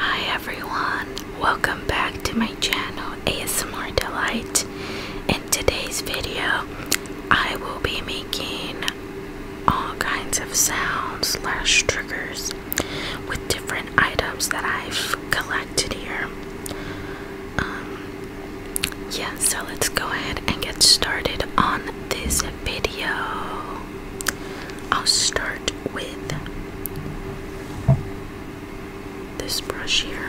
Hi everyone, welcome back to my channel ASMR Delight. In today's video, I will be making all kinds of sounds slash triggers with different items that I've collected connected here. Um, yeah, so let's go ahead and get started on this video. I'll start with this brush here.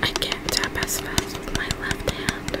I can't tap as fast with my left hand.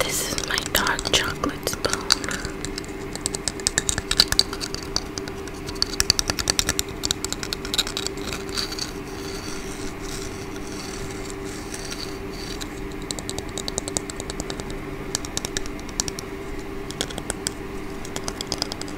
This is my dark chocolate spoon.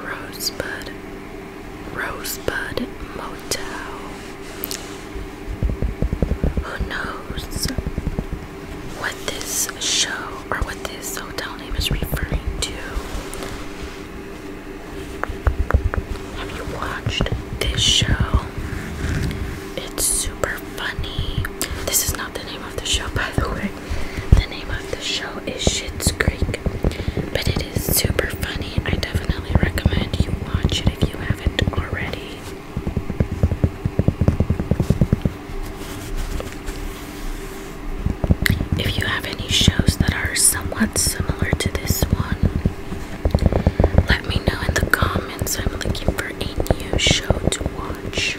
Rosebud Rosebud Motel. Who knows what this show or what this hotel name is referring to. Have you watched this show? It's super funny. This is not the name of the show, by the way. The name of the show is Shits Creek, but it is super funny. I definitely recommend you watch it if you haven't already. If you have any shows that are somewhat similar to this one, let me know in the comments. I'm looking for a new show to watch.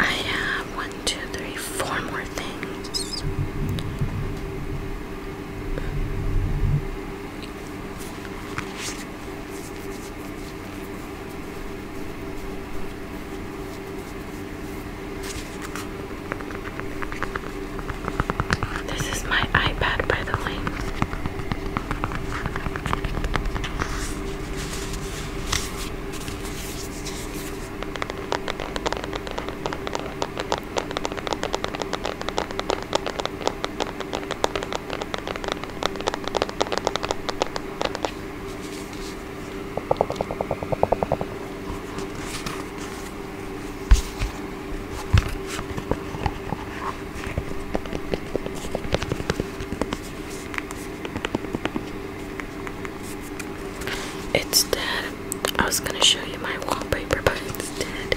I have one, two, three, four more things. This is my iPad, by the way. It's dead. I was gonna show you my wallpaper, but it's dead.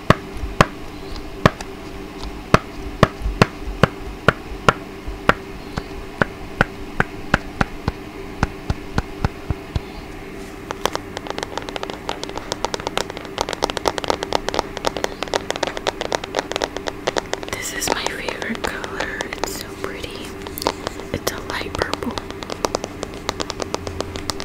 This is my favorite color. It's so pretty. It's a light purple.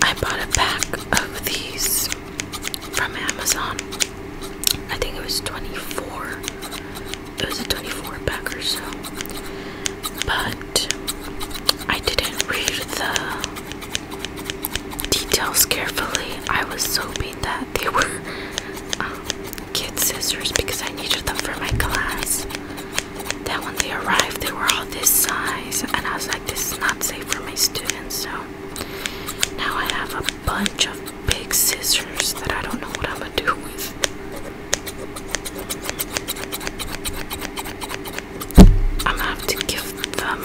I bought a pack of these from Amazon. I think it was 24. It was a 24 pack or so. But I didn't read the details carefully. I was so beat that they were um, kid scissors because I needed them for my class. Then when they arrived, they were all this size, and I was like, this is not safe for my students. So now I have a bunch of big scissors that I don't know what I'm gonna do with. I'm gonna have to give them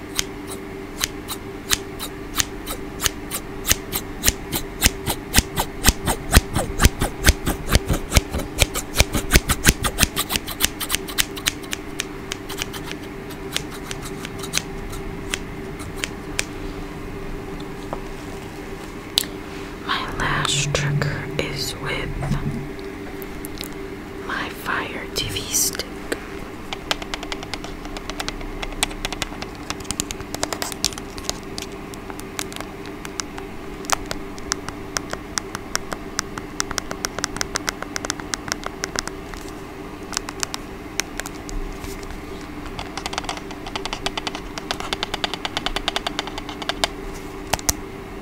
My lash trigger is with my Fire TV stick.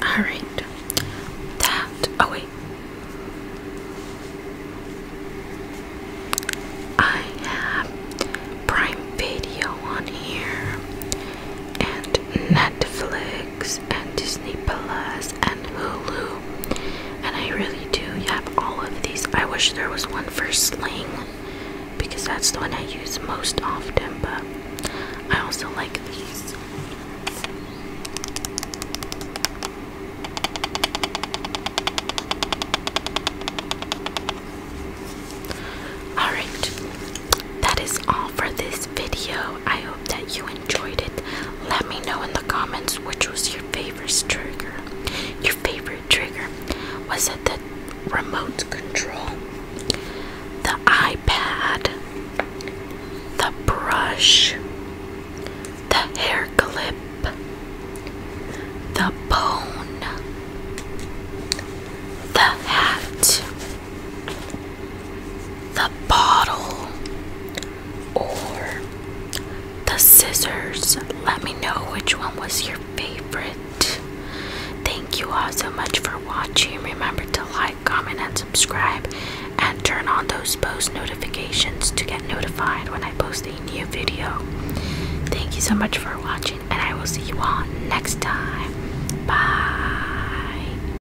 All right. That. Oh wait. I have Prime Video on here and Netflix. Netflix and Disney Plus and Hulu. And I really do have all of these. I wish there was one for Sling because that's the one I use most often, but I also like these. Alright, that is all for this video. I hope that you enjoyed it. Let me know in the comments which was your favorite trigger. Your favorite trigger was it the remote control, the iPad, the brush, the hair clip, the bone, the hat the bottle, or the scissors. Let me know which one was your favorite. Thank you all so much for watching. Remember to like, comment, and subscribe, and turn on those post notifications to get notified when I post a new video. Thank you so much for watching, and I will see you all next time. Bye.